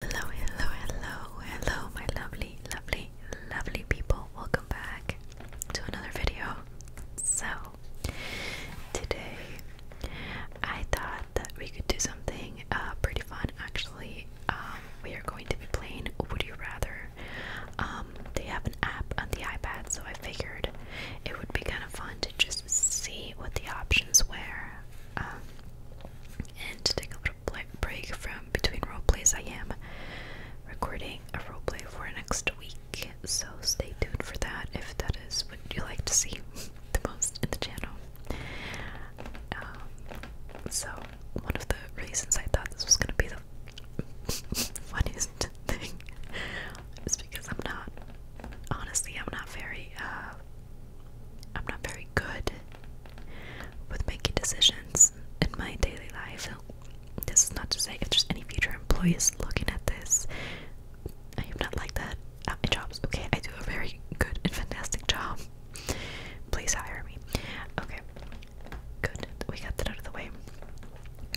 Hello, hello, hello, hello, my lovely, lovely, lovely people. Welcome back to another video. So, today I thought that we could do something uh, pretty fun actually. Um, we are going to be playing Would You Rather. Um, they have an app on the iPad, so I figured it would be kind of fun to just see what the options were um, and take a short break from between roleplays, I am recording a roleplay for next week, so stay tuned for that if that is what you like to see the most in the channel. Um, so, one of the reasons I thought this was going to be the funniest thing is because I'm not, honestly, I'm not very, uh, I'm not very good with making decisions in my daily life. This is not to say if there's any future employees looking at this, I am not like that at my jobs. Okay, I do a very good and fantastic job. Please hire me. Okay, good. We got that out of the way.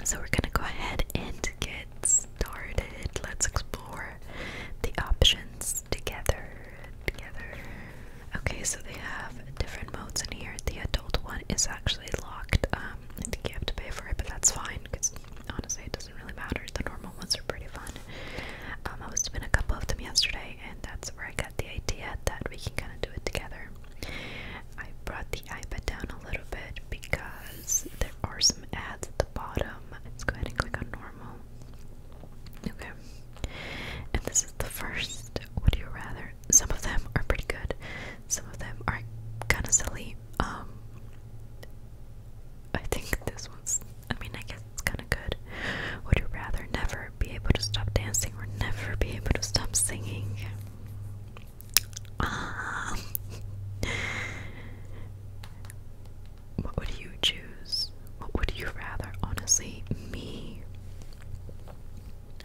So we're gonna go ahead and get started. Let's explore the options together. Together. Okay, so they have different modes in here. The adult one is actually locked. Um, I think you have to pay for it, but that's fine because honestly, it doesn't really matter. The normal ones are pretty fun. Um, I was doing a couple of them yesterday, and that's where I got the idea that we can kind of do it together. I brought the iPad down a little bit because there are some ads at the bottom. Let's go ahead and click on normal. Okay. And this is the first Would You Rather. Some of them are pretty good. Some of them are kind of silly. Um, I think this one's, I mean, I guess it's kind of good. Would you rather never be able to stop dancing or never be able to stop singing? Um, what would you choose? What would you rather? Honestly, me.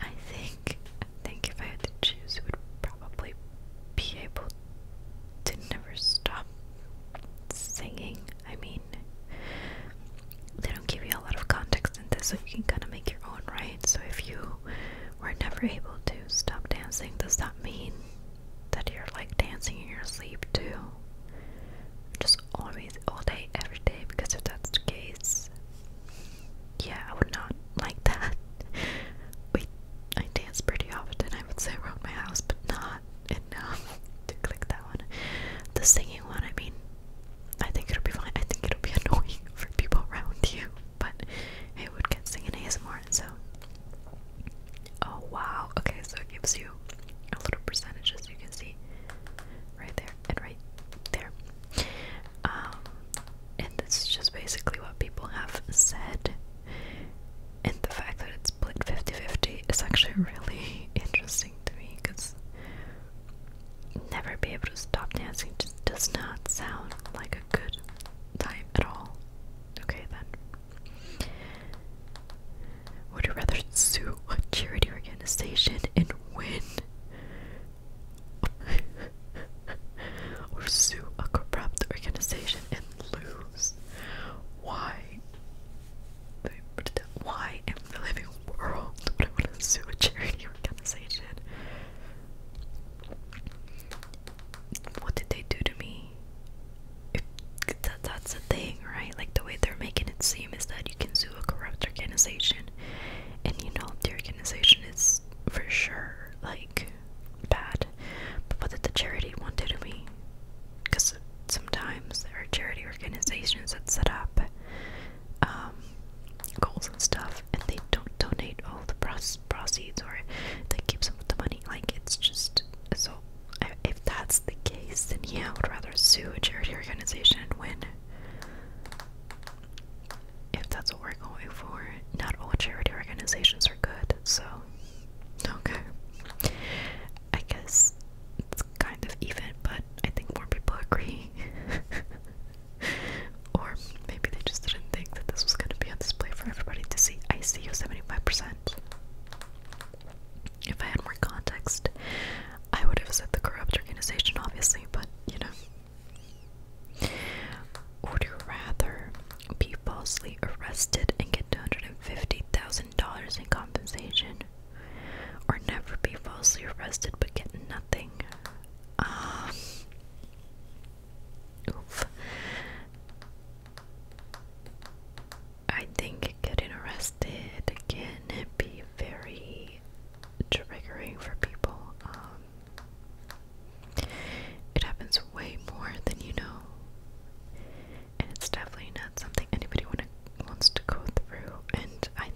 I think think if I had to choose, it would probably be able to never stop singing. I mean, they don't give you a lot of context in this, so you can kind of make your own, right? So if you were never able to stop dancing, does that mean that you're like dancing in your sleep too? just videos always all day every day because if that's the case yeah I would not like that we I dance pretty often I would say around my house but not enough to click that one the singing one I mean I think it'll be fine I think it'll be annoying for people around you but it would get singing ASMR so oh wow okay so it gives you a little percentages you can see right there and right there. Um, and this is just basically what people have said. And the fact that it's split 50 50 is actually really interesting to me because never be able to stop dancing just does not sound like a good time at all. Okay, then. Would you rather sue a charity organization and win? or sue a corrupt organization and lose? Why? Why in the living world would I want to sue a charity organization? What did they do to me? that, that's the thing, right? Like the way they're making it seem is that you can sue to a corrupt organization, and you know the organization is for sure like bad. But what did the charity want to do to me? Because sometimes there are charity organizations that set up um, goals and stuff, and they don't donate all the proceeds, or they keep some of the money. Like it's just so. I if that's the case, then yeah, I would rather sue a charity organization and win. If that's what we're going for, not all charity organizations are good, so okay. I guess it's kind of even, but I think more people agree. or maybe they just didn't think that this was going to be on display for everybody to see. I see 75%. If I had more context, I would have said the corrupt organization, obviously, but you know. Would you rather be falsely arrested and get $250,000 in compensation? Or never be falsely arrested but get nothing? Um. Oof. I think getting arrested can be very triggering for people. Um, it happens way more than you know, and it's definitely not something anybody wanna, wants to go through. And I,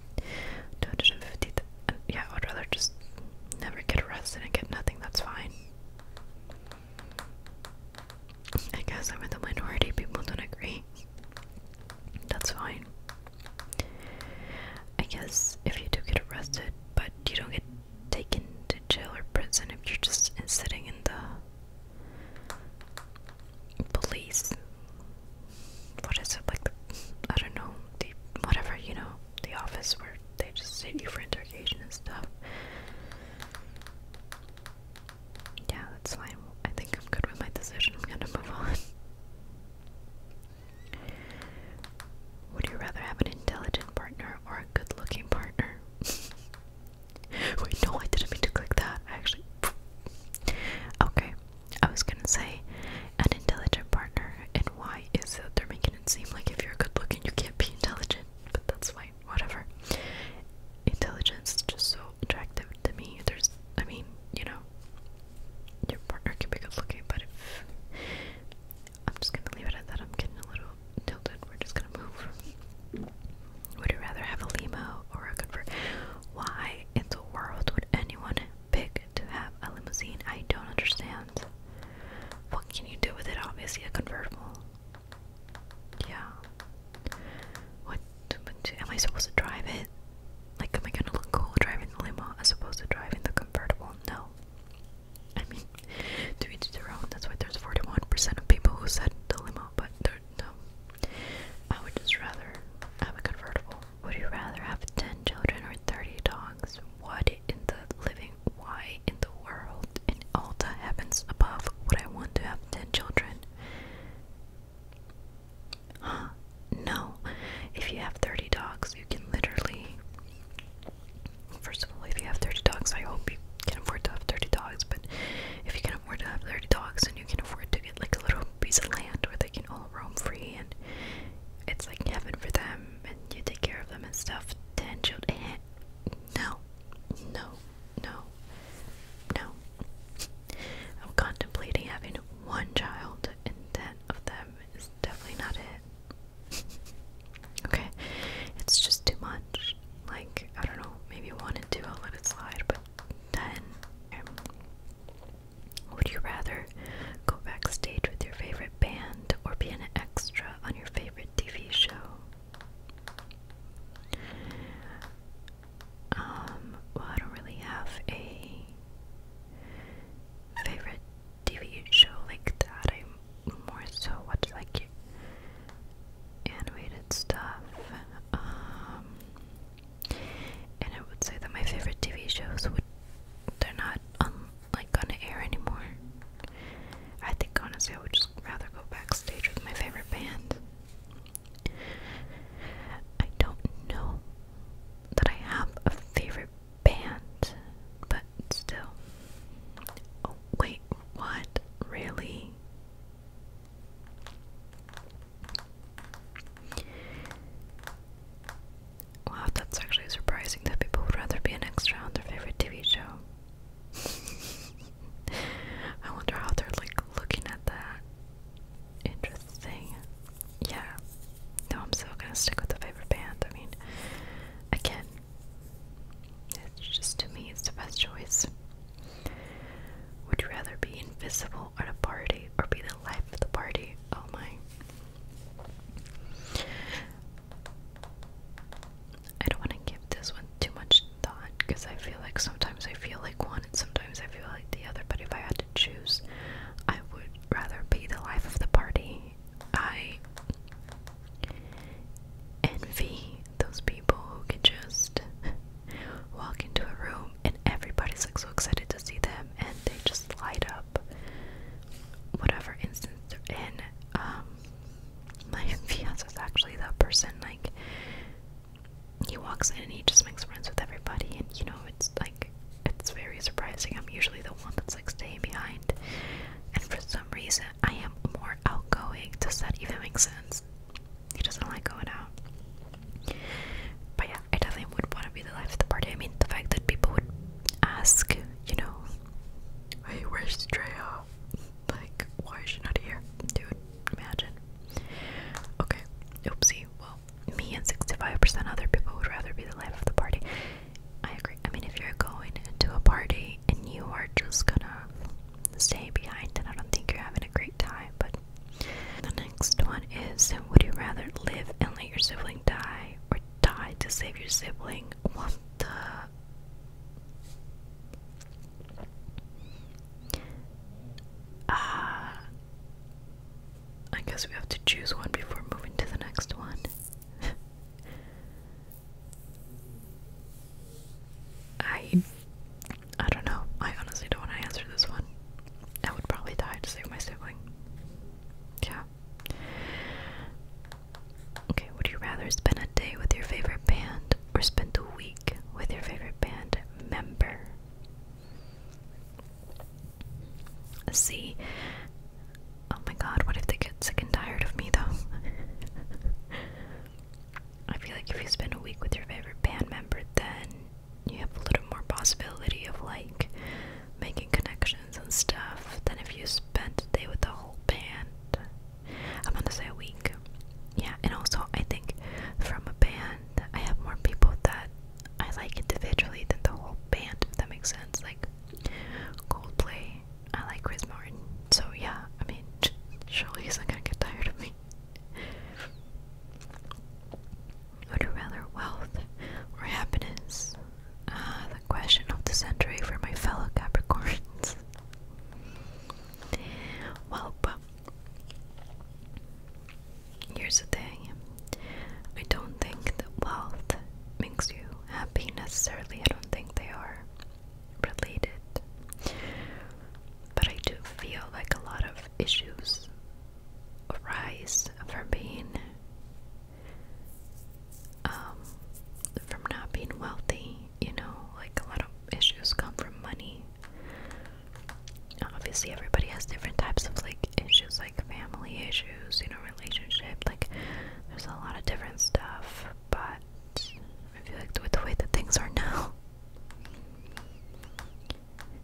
250, uh, yeah, I would rather just never get arrested and get nothing. That's fine. I guess I'm in the minority. People don't agree. That's fine. I guess if you do get arrested, but you don't get taken to jail or prison if you're just sitting in the police. What is it like? I don't know. The whatever you know, the office where they just sit you for interrogation and stuff. Yeah, that's fine. I think I'm good with my decision. I'm gonna move on. Would you rather have an intelligent partner or a good looking partner? Wait, no, I didn't mean to click that. actually. Okay, I was gonna say an intelligent partner, and why is that they're making it seem like if you're good looking, you can't be intelligent, but that's fine, whatever. Intelligence is just so attractive to me. There's, I mean, you know, your partner can be good looking, but if I'm just gonna leave it at that, I'm getting a little tilted. We're just gonna move. Would you rather have a limo or a convert? Why in the world would anyone pick to have a limousine? I don't understand. What can you do with it? Obviously, a convertible. Yeah. What Am I supposed to drive it? Like, am I gonna look cool driving the limo as opposed to driving the convertible? No. I mean, do to each their own. That's why there's 41% of people who said the limo, but no. I would just rather have a convertible. Would you rather have 10 children or 30 dogs? What in the living why in the world And all that happens above what I want to have 10 children? Huh? No. If you have 30 dogs, you can literally. First of all, if you have 30 dogs, I hope you can afford to have 30 dogs, but if you can afford to have 30 dogs and you can afford to get like a little piece of land where they can all roam free and it's like heaven for them and you take care of them and stuff, then you'll. Eh, no. No. No. No. I'm contemplating having one child and ten of them is definitely not it. okay, it's just too much. Like, I don't know, maybe one and two, I'll let it slide, but ten. Would you rather go backstage with your favorite band or be an extra on your favorite TV show? Um, well, I don't really have a favorite TV show like that. I more so watch like animated stuff. Um, and I would say that my favorite TV shows would they're not on like on air anymore. I think honestly I would just rather go backstage with my favorite band. I don't know that I have a favorite band, but still. Oh, wait, what? Really? Wow, that's actually surprising that people would rather be an extra on their favorite TV show. I wonder how they're like looking at that. Interesting. Yeah. No, I'm still gonna stick with the favorite band. I mean, again, it's just to me, it's the best choice. Would you rather be invisible at a party or be the life of the party? Oh my. I don't want to give this one too much thought because I feel like sometimes I feel like one and sometimes I feel like the other, but if I had to choose, I would rather be the life of the party. I envy those people who can just walk into a room and everybody's like so excited to see them and they just light up whatever instance they're in. Um, my fiance is actually that person. Like, he walks in and he just makes friends with everybody and you know it's like it's very surprising i'm usually the one that's like staying behind and for some reason i am more outgoing does that even make sense he doesn't like going out but yeah i definitely would want to be the life of the party i mean the fact that people would ask you know hey where's Drea? like why is she not here dude imagine okay oopsie well me and 65% other people would rather be the life of the party. I agree. I mean, if you're going to a party and you are just gonna stay behind, then I don't think you're having a great time. But the next one is Would you rather live and let your sibling die or die to save your sibling? What the? Ah. I guess we have to choose one before moving to the next one. I I don't know. I honestly don't want to answer this one. I would probably die to save my sibling. Yeah. Okay, would you rather spend a day with your favorite band or spend a week with your favorite band member? see. Oh my god, what if they get sick and tired of me though? I feel like if you spend a week with your favorite band member, then you have a little more possibility of like making connections and stuff than if you spent a day with the whole band. I'm gonna say a week. Yeah, and also I think from a band, I have more people that I like individually than the whole band, if that makes sense. Like Coldplay, I like Chris Martin. So yeah, I mean, surely he's not gonna get tired of me. Would you rather wealth or happiness? Ah, the question of the century for my fellow Capricorns. Welp. Here's the thing I don't think that wealth makes you happy necessarily. I don't think they are related. But I do feel like a lot of issues arise from being, um, from not being wealthy, you know, like a lot of issues come from money obviously everybody has different types of like issues like family issues you know relationship like there's a lot of different stuff but i feel like with the way that things are now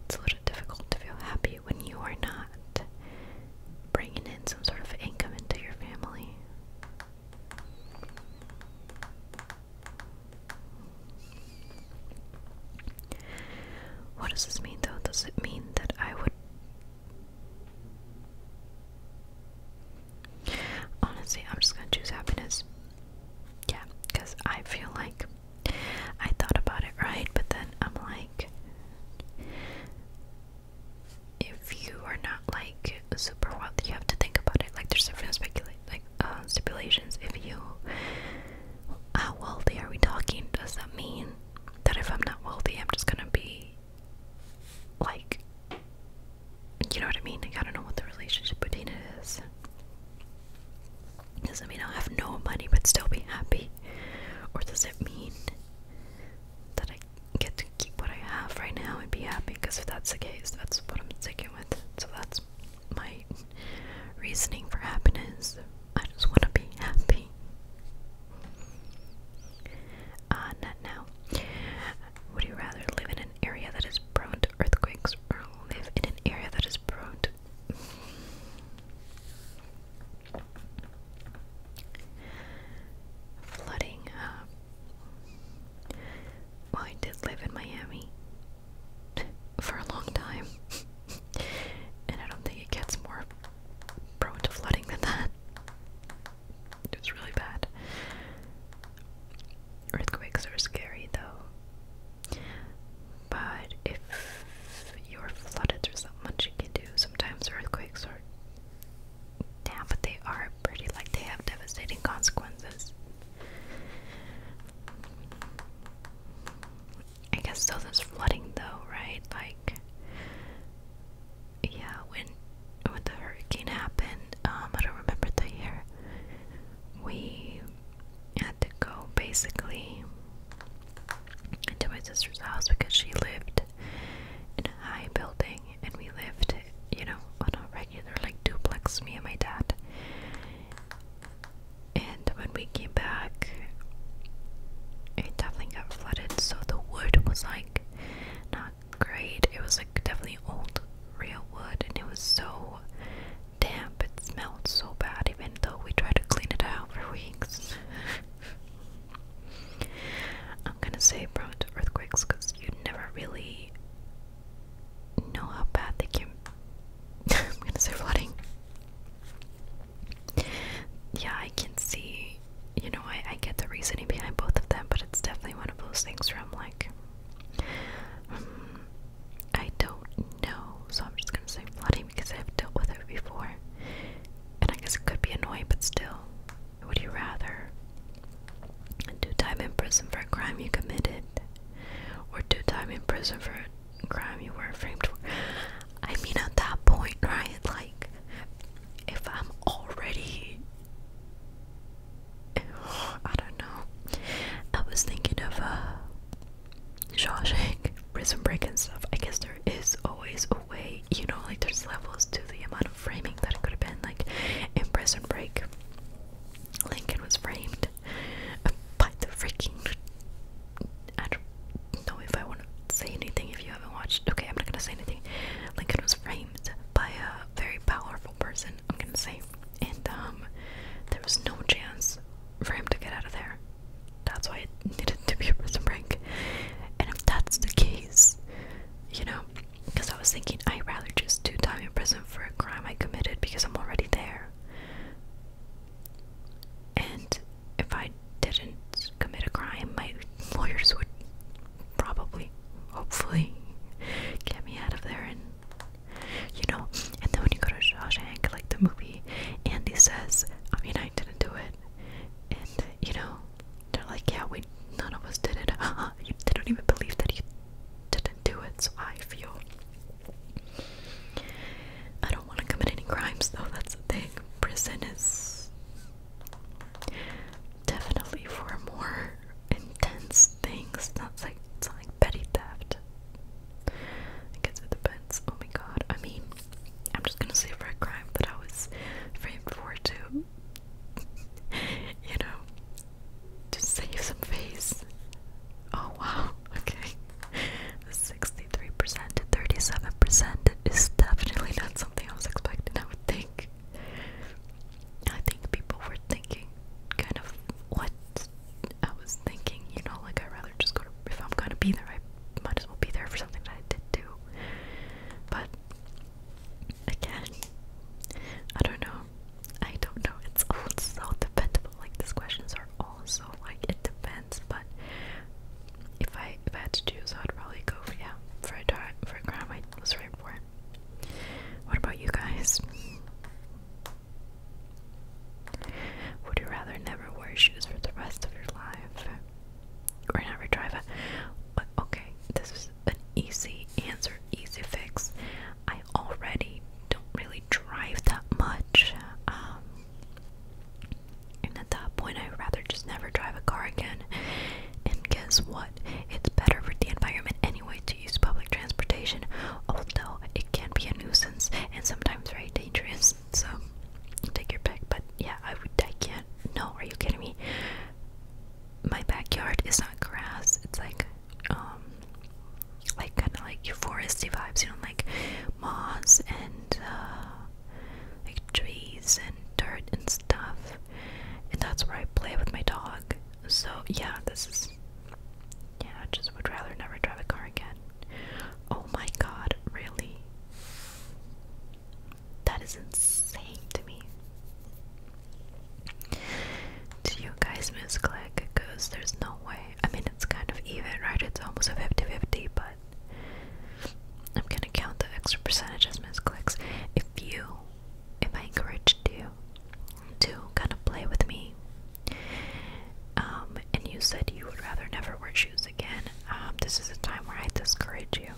it's a little difficult to feel happy when you are not bringing in some sort of income into your family what does this mean though? Does it mean that I would. Honestly, I'm just gonna choose happiness. Yeah, because I feel like I thought about it right, but then I'm like, if you are not like super wealthy, you have to think about it. Like, there's different speculate like uh, stipulations. If you, how wealthy are we talking? Does that mean that if I'm not wealthy, I'm just gonna be like, you know what I mean? Like, I don't know what the relationship between it is. Does it mean I'll have no money but still be happy? Or does it mean that I get to keep what I have right now and be happy? Because if that's the case, that's what I'm sticking with. So that's my reasoning for happiness. I just want to be happy. Uh, not now. Would you rather live in an area that is prone to earthquakes or live in an area that is prone to. Flooding. Uh, well, I did live in Miami for a long time. and I don't think it gets more prone to flooding than that. It's really bad. Earthquakes are scary though. But if you're flooded, there's not much you can do. Sometimes earthquakes are yeah, but they are pretty like they have devastating consequences. I guess so there's flooding though, right? Like yeah, when when the hurricane happened, um I don't remember the year. We had to go basically into my sister's house because she lived in a high building and we lived, you know, on a regular like duplex, me and my dad and when we came back, it definitely got flooded. So the wood was like not great. It was like definitely old real wood, and it was so damp. It smelled so bad, even though we tried to clean it out for weeks. I'm gonna say prone to earthquakes because you never really know how bad they can. I'm gonna say flooding yeah, I can see, you know, I, I get the reasoning behind both of them, but it's definitely one of those things where I'm like, um, I don't know, so I'm just gonna say flooding because I've dealt with it before. And I guess it could be annoying, but still, would you rather do time in prison for a crime you committed, or do time in prison for a crime you were framed for. I mean, at that point, right? Like, if I'm already. I don't know. I was thinking of uh, Shawshank, Prison Break, and stuff. I guess there is always a way, you know, like there's levels to the amount of framing that it could have been. Like in Prison Break, Lincoln was framed by the freaking I don't know if I want to say anything if you haven't watched. Okay, I'm not gonna say anything. Lincoln was framed by a very powerful person, I'm gonna say. And um, there was no chance for him to get out of there. That's why it needed to be a prison break. And if that's the case, you know, because I was thinking I'd rather just do time in prison for a crime I committed because I'm already there and if I didn't commit a crime, my lawyers would probably, hopefully, get me out of there. And you know, and then when you go to Shawshank, like the movie, Andy says, "I mean, I didn't do it," and you know, they're like, "Yeah, we none of us did it." you, they don't even believe that you didn't do it. So I feel. I don't want to commit any crimes though, that's the thing prison is definitely for more intense things. Not like not like petty theft. I guess it depends. Oh my god. I mean, I'm just gonna say for a crime that I was framed for too. you know, to save some face. Oh wow, okay. The sixth 63% 37% is definitely not something I was expecting, I would think. I think people were thinking kind of what I was thinking, you know, like i rather just go if I'm gonna be there, I might as well be there for something I did do. But again, I don't know. I don't know. It's all so dependable. Like these questions are all like it depends, but if I if I had to choose, I'd probably go for yeah for a dart for a crown. I was right for it. What about you guys? Would you rather never wear shoes for the rest of your life, or never drive a? But okay, this is an easy answer, easy fix. I already don't really drive that much. Um, and at that point, I'd rather just never drive a car again. And guess what? It's better for the environment anyway to use public transportation, although it can be a nuisance and sometimes very dangerous. So take your pick. But yeah, I would. I can't. No, are you kidding me? My backyard is not grass. It's like, um, like kind of like foresty vibes. You know, like moss and uh, like trees and dirt and stuff. And that's where I play with my dog. So yeah, this is yeah, I just would rather never drive a car again. Oh my god, really? That is insane to me. Do you guys miss misclick? Because there's no way. I mean, it's kind of even, right? It's almost a 50 50, but I'm gonna count the extra percentage as misclicks. If you, if I encourage you to kind of play with me, um, and you said you would rather never wear shoes again, um, this is a time where I discourage you.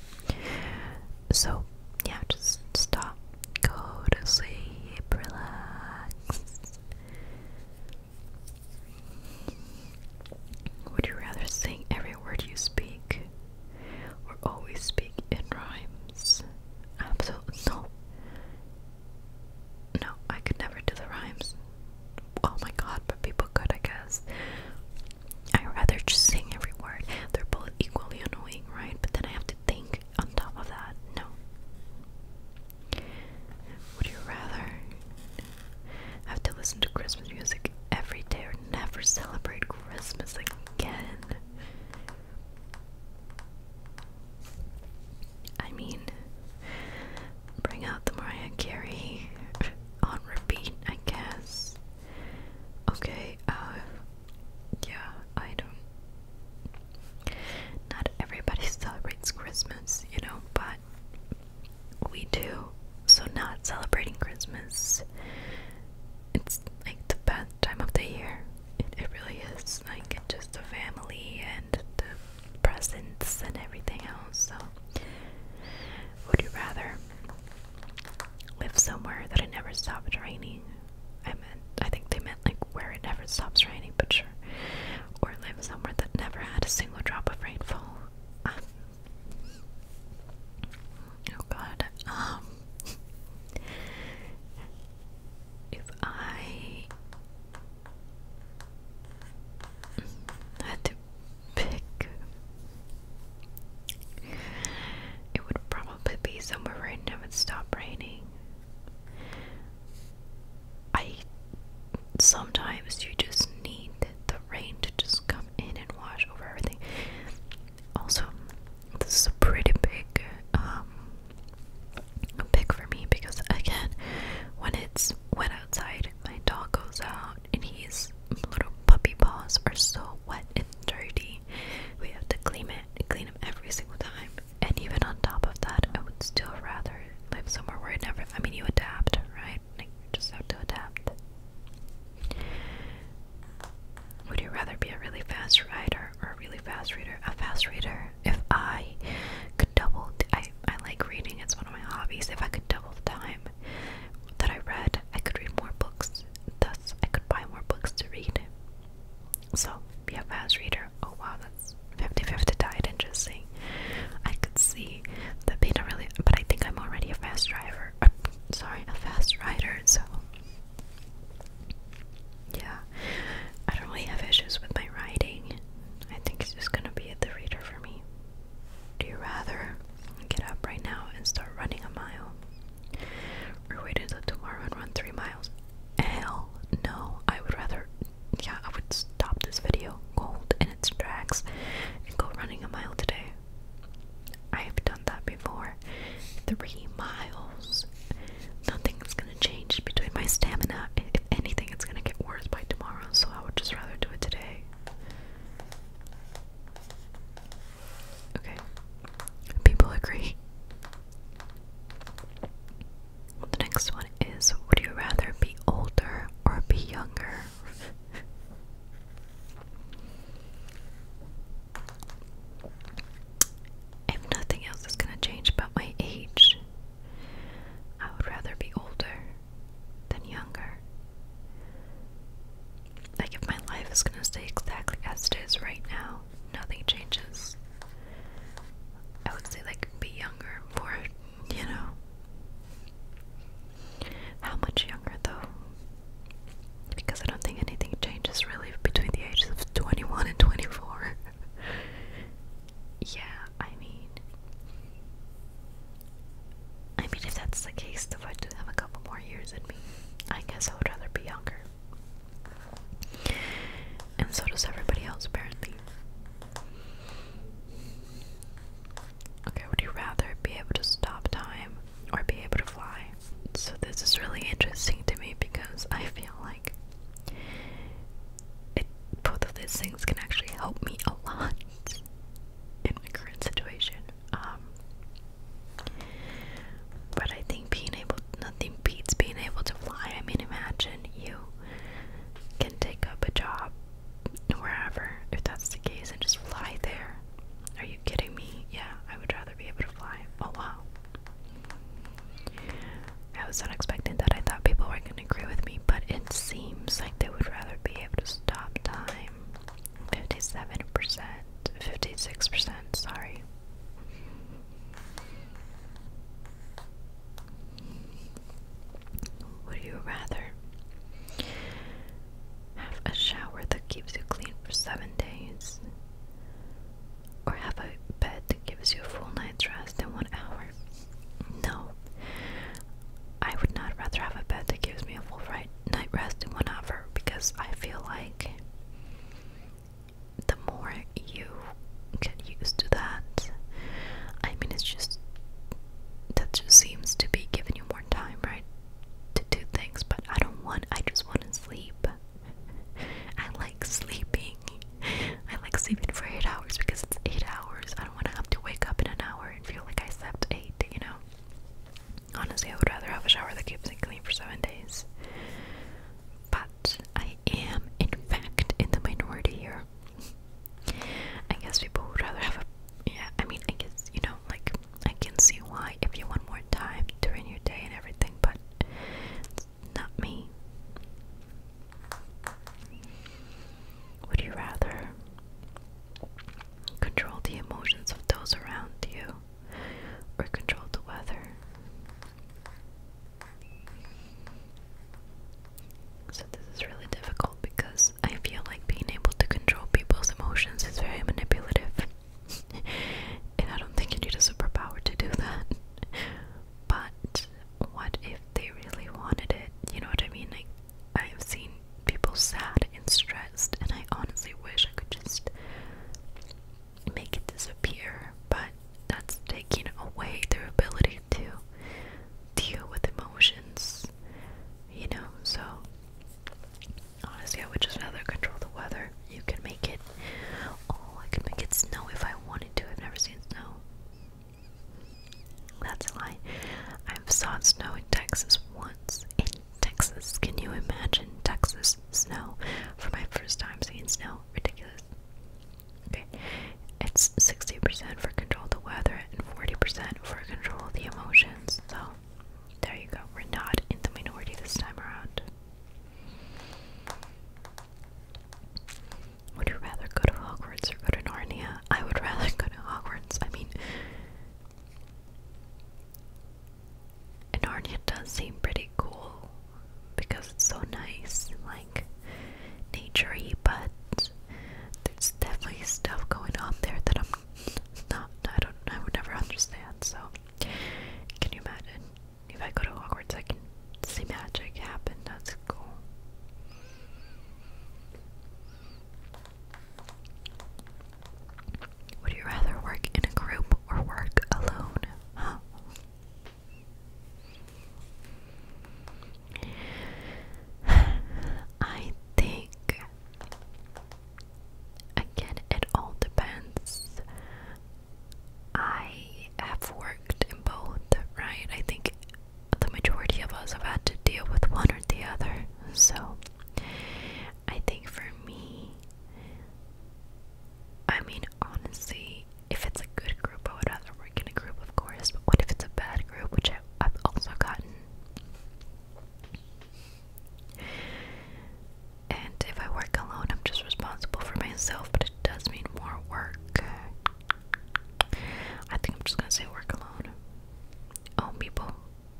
So, yeah, just stop, go to sleep, relax. Would you rather sing every word you speak or always speak in rhymes? Absolutely no. No, I could never do the rhymes. Oh my god, but people could, I guess. I rather just sing every word. They're both equally annoying, right? But then I have to think on top of that. No. Would you rather have to listen to Christmas music every day or never celebrate Christmas again. I mean, bring out the Mariah Carey on repeat, I guess. Okay, uh, yeah, I don't. Not everybody celebrates Christmas, you know, but we do. So, not celebrating Christmas. It's like the best time of the year. It, really is. Like, it's just the family and the presents and everything else. So, would you rather live somewhere that it never stops raining? I meant, I think they meant like where it never stops raining, but sure. Or live somewhere that never had a single drop of rainfall. Um, Oh god. Um, if I had to pick it would probably be somewhere where it never raining. I sometimes you just need the rain to just come in and wash over everything. Also, this is a pretty big um pick for me because again, when it's wet outside, my dog goes out and his little puppy paws are so wet and dirty. We have to clean it, clean them every single time. And even on top of that, I would still rather live somewhere where it never. I mean, you adapt, right? right? just have to adapt. Would you rather be a really fast writer or a really fast reader? A fast reader. If I could double, I, I like reading, it's one of my hobbies. If I could double the time that I read, I could read more books. Thus, I could buy more books to read. So, be a fast reader. Oh wow, that's 50 50 died. Interesting. I could see that being a really, but I think I'm already a fast driver sorry, a fast rider. So, yeah, I don't really have issues with my riding. I think it's just gonna be at the reader for me. Do you rather get up right now and start running a mile, or wait until tomorrow and run three miles? Hell no! I would rather, yeah, I would stop this video cold in its tracks and go running a mile today. I've done that before. Three miles. Nothing's gonna change between my stamina. If anything, it's gonna get worse by tomorrow, so I would just rather do it today. Okay. People agree. The next one is Would you rather be older or be younger? if nothing else is going to change but my age, I would rather be older than younger. Like, if my life is going to stay exactly as it is right now, nothing changes. I would say, like, be younger, more, you know. How much younger, though? because I don't think anything changes really between the ages of 21 and 24. yeah, I mean, I mean, if that's the case, if I do have a couple more years in me, I guess I would rather be younger. And so does everybody else, apparently. Okay, would you rather be able to stop time or be able to fly? So, this is really interesting to me because I feel like it, both of these things can actually help me a lot in my current situation. Um, but I think being able, nothing beats being able to fly. I mean, imagine you can take up a job wherever, if that's the case, and just fly there. Are you kidding me? Yeah, I would rather be able to fly. Oh wow. I was unexpected that I thought people were going to agree with me, but it seems like they would rather be able to stop time. 57%, 56%, sorry. Would you rather have a shower that keeps you clean for seven days. Or have a bed that gives you a full night's rest in one hour. No. I would not rather have a bed that gives me a full right night rest in one hour because I feel like the more you get used to that, I mean, it's just that just seems to be giving you more time, right? to do things, but I don't want, I just want to sleep. I like sleeping. I like sleeping for eight hours because it's eight hours. I don't want to have to wake up in an hour and feel like I slept eight, you know? Honestly, I would rather have a shower that keeps me clean for seven days. But I am, in fact, in the minority here. I guess people would rather have a. Yeah, I mean, I guess, you know, like, I can see why if you want more time during your day and everything, but it's not me. Would you rather control the emotions of those around you or control the weather? So, this is really difficult because I feel like being able to control people's emotions is very manipulative. and I don't think you need a superpower to do that. But what if they really wanted it? You know what I mean? I have seen people sad and stressed, and I honestly wish I could just make it disappear, but that's taking away their ability to deal with emotions, you know? So, Honestly, I would just rather control the weather. You can make it. Oh, I could make it snow if I wanted to. I've never seen snow. That's a lie. I've saw snow in Texas once. In Texas, can you imagine Texas snow? For my first time seeing snow, ridiculous. Okay, it's 60% for control the weather and 40% for control the emotions. So there you go. We're not in the minority this time around. Would you rather go to Hogwarts or go to Narnia? I would rather go to Hogwarts. I mean, and Narnia does seem pretty cool because it's so nice, like naturey, but there's definitely stuff going on there that I'm not, I don't, I would never understand. So, can you imagine if I go to Hogwarts, I can see magic happen? That's cool. Would you rather work in a group or work alone? Huh? I think Again, it all depends. I have worked in both, right? I think the majority of us have had to deal with one or the other. So, I think for me, I mean, honestly, if it's a good group, I would rather work in a group, of course. But what if it's a bad group, which I, I've also gotten? And if I work alone, I'm just responsible for myself, but it does mean more work. I think I'm just gonna say work alone. Oh, people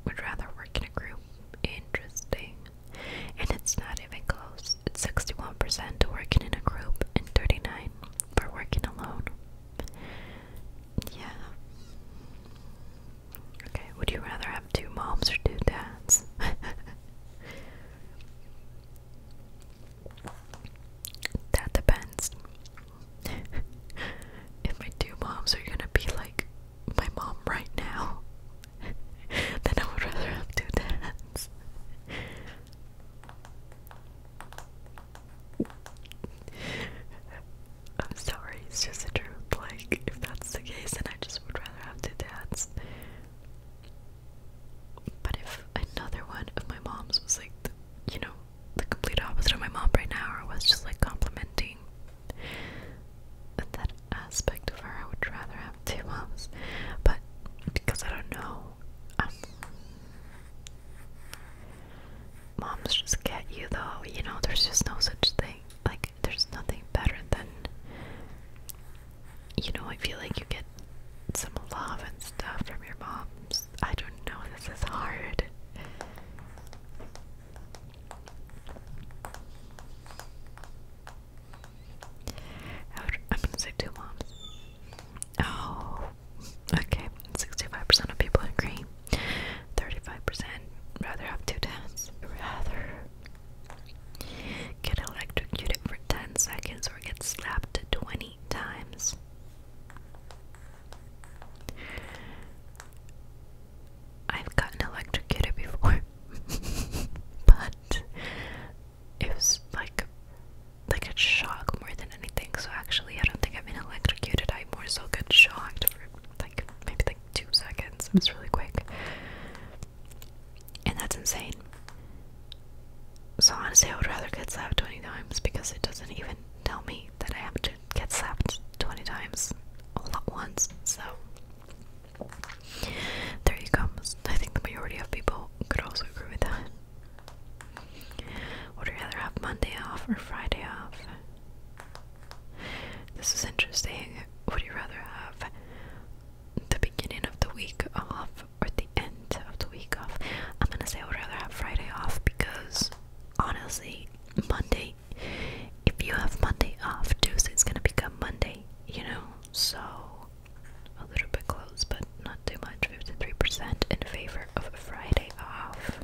would rather work in a group. Interesting. And it's not even close. It's 61% working in a group and 39 for working alone. Yeah. Okay, would you rather have two moms or two dads? that depends. if my two moms are gonna be like my mom right now, then I would rather have two dads. I'm sorry, it's just the truth. Like, if that's the case, then I just would rather have two dads. But if another one of my mom's was like, you know, the complete opposite of my mom right now, or was just like complimenting that aspect of her, I would rather have two moms. But because I don't know, um, moms just get you though, you know, there's just no such thing. Like, there's nothing better than you know, I feel like you get some love and stuff from your moms. I don't know, this is hard. I'm gonna say two moms. Oh, okay. 65% of people agree. 35% rather have two dads rather get electrocuted for 10 seconds or get slapped 20 times. I've gotten electrocuted before, but it was like like a shock more than anything. So actually, I don't think I've been electrocuted. I more so got shocked for like maybe like two seconds. It's really quick. And that's insane. So honestly, I would rather get slapped 20 times because it doesn't even tell me that I have to get slapped 20 times all at once. So there you go. I think the majority of people could also agree with that. Would you rather have Monday off or Friday off? This is interesting. Would you rather have the beginning of the week off or the end of the week off? I'm gonna say I would rather have Friday off because honestly, Monday, if you have Monday off, Tuesday's gonna become Monday, you know? So, a little bit close, but not too much. 53% in favor of Friday off.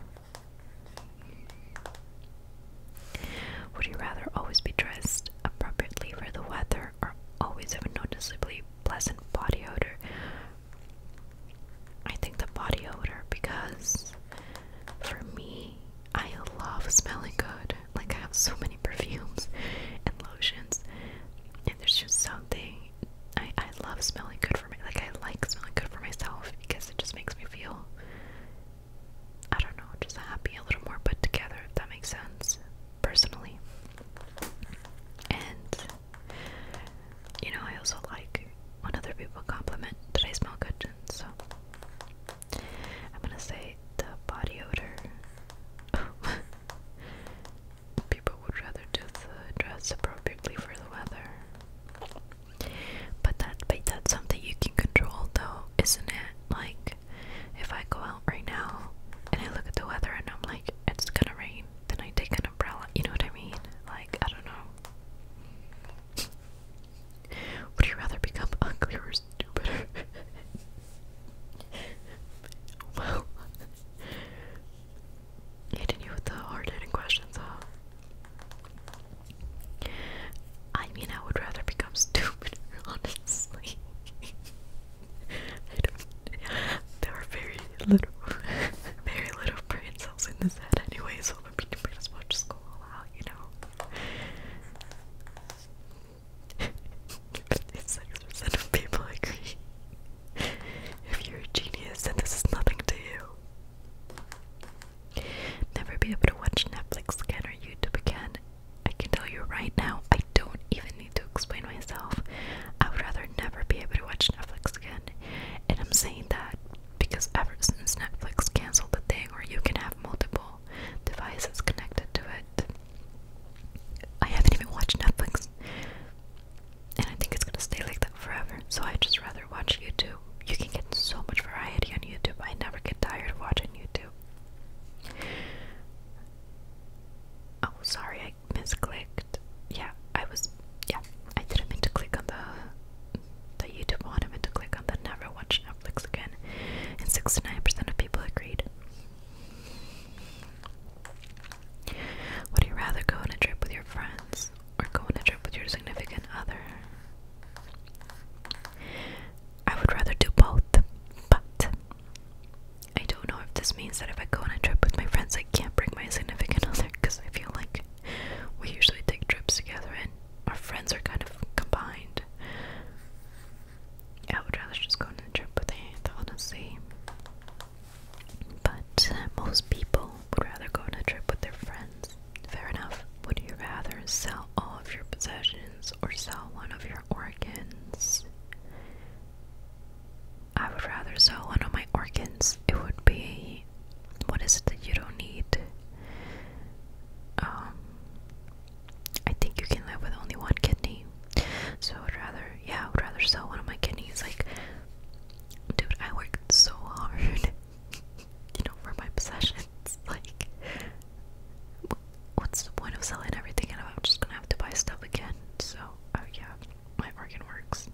Would you rather always be dressed appropriately for the weather or always have a noticeably pleasant body odor? I think the body odor because for me, I love smelling good. Like, I have so many perfumes and lotions, and there's just something I, love smelling good for me. Like, I like smelling good for myself because it just makes me feel I don't know, just happy, a little more put together, if that makes sense, personally. And, you know, I also like when other people compliment that I smell good, so I'm gonna say the body odor. people would rather do the dress appropriately for the weather. But that but that's something you can control though isn't it? Like, if I go out right now and I look at the weather and I'm like, it's gonna rain, then I take an umbrella. You know what I mean? Like, I don't know. Would you rather become ugly or stupider? well, hitting you with the hard hitting questions, huh? I mean, I would rather become stupid, honestly. I don't, there are very little, very little brain cells in this head Anyways, so let me pretty as much school out, you know. Fifty-six percent of people agree. If you're a genius, then this is nothing to you. Never be able to watch Netflix again or YouTube again, I can tell you right now, I don't even need to explain myself. I would rather never be able to watch Netflix again. And I'm saying that because ever since Netflix canceled the thing where you can have multiple devices connected to it, I haven't even watched Netflix. And I think it's gonna stay like that forever. So I just rather watch YouTube. You can get so much variety on YouTube. I never get tired of watching YouTube. Oh, sorry, I misclicked. Yeah, I was. Yeah, I didn't mean to click on the the YouTube one. I meant to click on the never watch Netflix again. And sixty nine percent of people agreed. Would you rather go on a trip with your friends or go on a trip with your significant other? I would rather do both, but I don't know if this means that if I go on a trip with my friends, I can't bring my significant other because I feel like we usually take trips together and our friends are kind of combined. I would rather just go on a trip with Aunt, honestly. But uh, most people would rather go on a trip with their friends. Fair enough. Would you rather sell all of your possessions? or sell one of your organs. I would rather sell one of my organs. It would be what is it that you don't need? Um, I think you can live with only one kidney. So I would rather, yeah, I would rather sell one of my kidneys. Like, dude, I worked so hard, you know, for my possessions. like, what's the point of selling everything? And I'm just gonna have to buy stuff again. So, oh yeah, my organ works.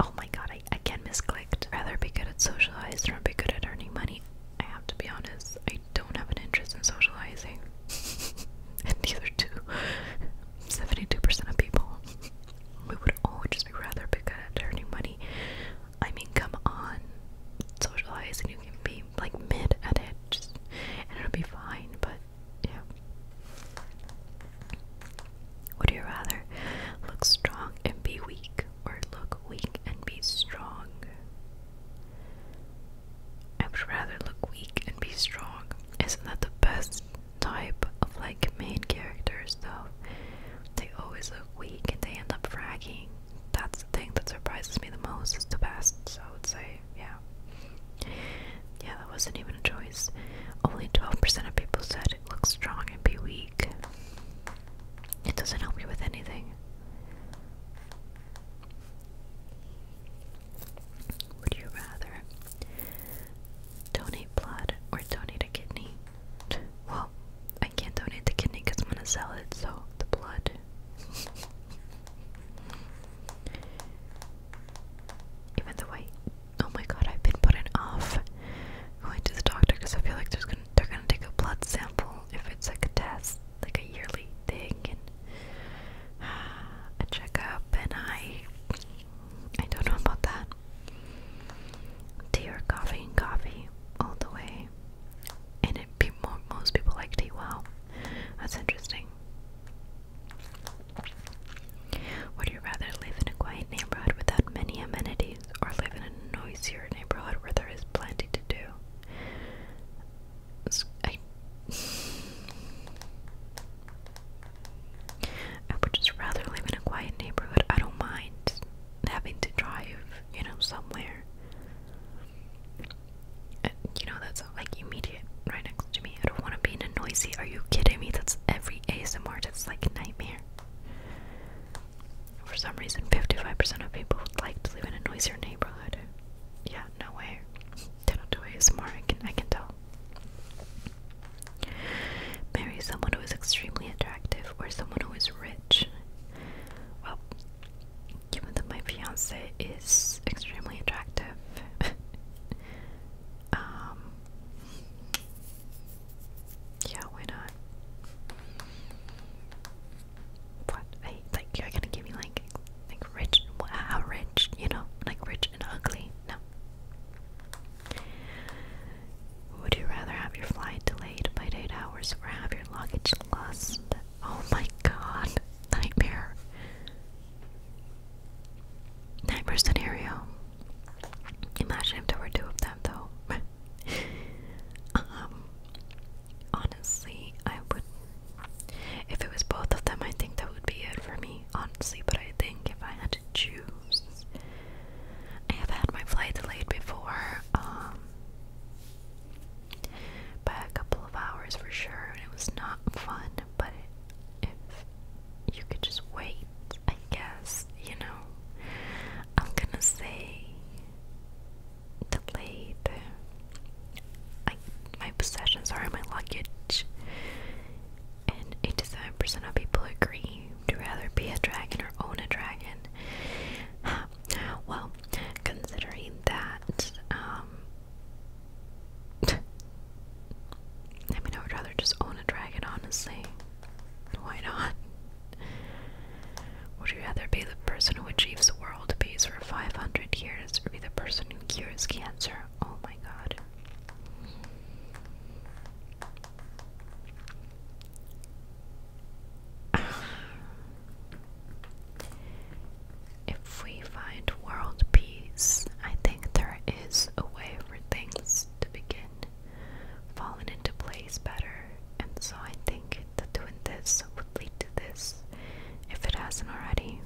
Oh my god, I again misclicked. Rather be good at socializing or be good at earning money. I have to be honest, I don't have an interest in socializing. and neither do 72% of people. We would all just be rather be good at earning money. I mean, come on, socialize, and you can be like mid at it, and it'll be fine. But yeah, would you rather look strong and be weak, or look weak and be strong? I would rather look weak and be strong. Isn't that the best type of like main characters though? They always look weak and they end up fragging that's the thing that surprises me the most It's the best, so I would say, yeah. Yeah, that wasn't even a choice. Only 12% of people said it looks strong and be weak. It doesn't help you with anything. Would you rather donate blood or donate a kidney? Well, I can't donate the kidney because I'm gonna sell it, so the blood Even though I, oh my god, I've been putting off going to the doctor because I feel like they're gonna take a blood sample if it's like a test, like a yearly thing, and a checkup, and I, I don't know about that. Tea or coffee coffee all the way way. And it, pe mo most people like tea. Wow, that's interesting. Would you rather live in a quiet neighborhood without many amenities or live in a noisier neighborhood where there is plenty to do? I, I would just rather live in a quiet neighborhood. I don't mind having to drive, you know, somewhere you know, that's like immediate right next to me. I don't want to be in a noisy. Are you kidding me? That's every ASMR artist's like nightmare. For some reason, 55% of people would like to live in a noisier neighborhood. Yeah, no way. don't do ASMR. I can tell. Marry someone who is extremely attractive or someone who is rich. Well, given that my fiance is extremely attractive, um, yeah, why not? What? like, you're gonna give me like, like rich, how rich, you know, like rich and ugly? No. Would you rather have your flight delayed by eight hours or have your luggage lost Oh my god. Nightmare. Nightmare scenario. Imagine if there were two of them though. um honestly I would if it was both of them I think that would be it for me, honestly, but I think if I had to choose I have had my flight delayed before, um by a couple of hours for sure, and it was not fun, but if you could just wait, I guess, you know, I'm gonna say delayed. I, my possessions sorry, my luggage, and 87% of people agree to rather be a dragon or own a dragon. Well, considering that, um, I mean, I would rather just own a dragon, honestly. Why not? Would you rather be the person who achieves world peace for 500 years or be the person who cures cancer? Oh my god. If we find world peace, I think there is a way for things to begin falling into place better, and so I think that doing this would lead to this if it hasn't already.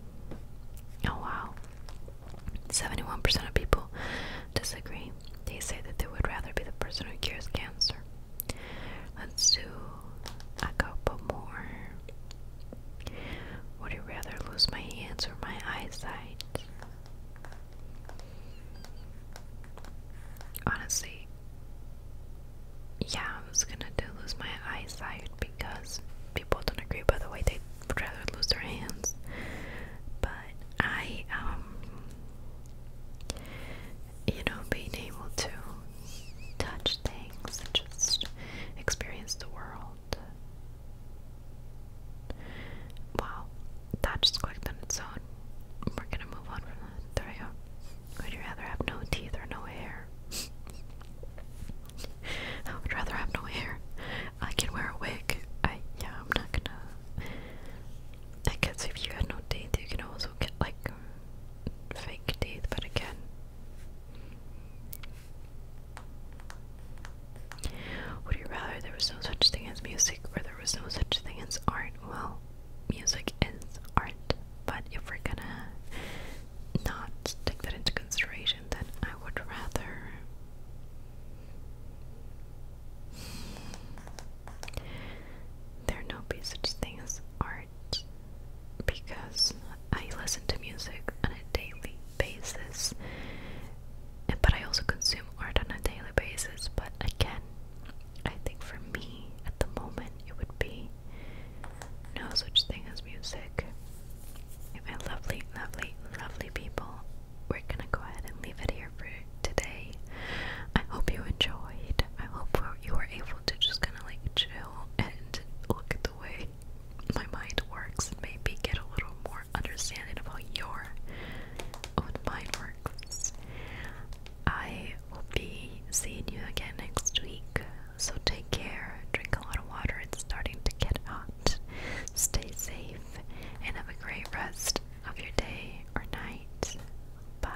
Oh wow. 71% of people disagree. They say that they would rather be the person who cures cancer. Let's do a couple more. Would you rather lose my hands or my eyesight? Honestly, yeah, I was gonna do lose my eyesight because people don't agree by the way they would rather lose their hands. But I um, you know being able to touch things just experience the world. Wow, that just clicked on its own. We're gonna move on from that. There we go. Would you rather have no teeth or no hair? I would rather have no hair. I can wear a wig. I yeah, I'm not gonna. I guess if you had no teeth, you can also get like fake teeth, but again. Would you rather there was no such thing as music or there was no such thing as art? Well, music is art, but if we're gonna not take that into consideration, then I would rather. There no be such thing as art because I listen to music on a daily basis, but I also consume art on a daily basis. But again, I think for me at the moment it would be no such thing as music. My lovely, lovely, lovely people, we're gonna go ahead and leave it here for today. I hope you enjoyed. I hope you were able to just kind of like chill and look at the way my mind works and maybe get a little more understanding about your own mind works. I will be seeing you again next week, so take care, drink a lot of water, it's starting to get hot. Stay safe and have a great rest of your day or night. Bye.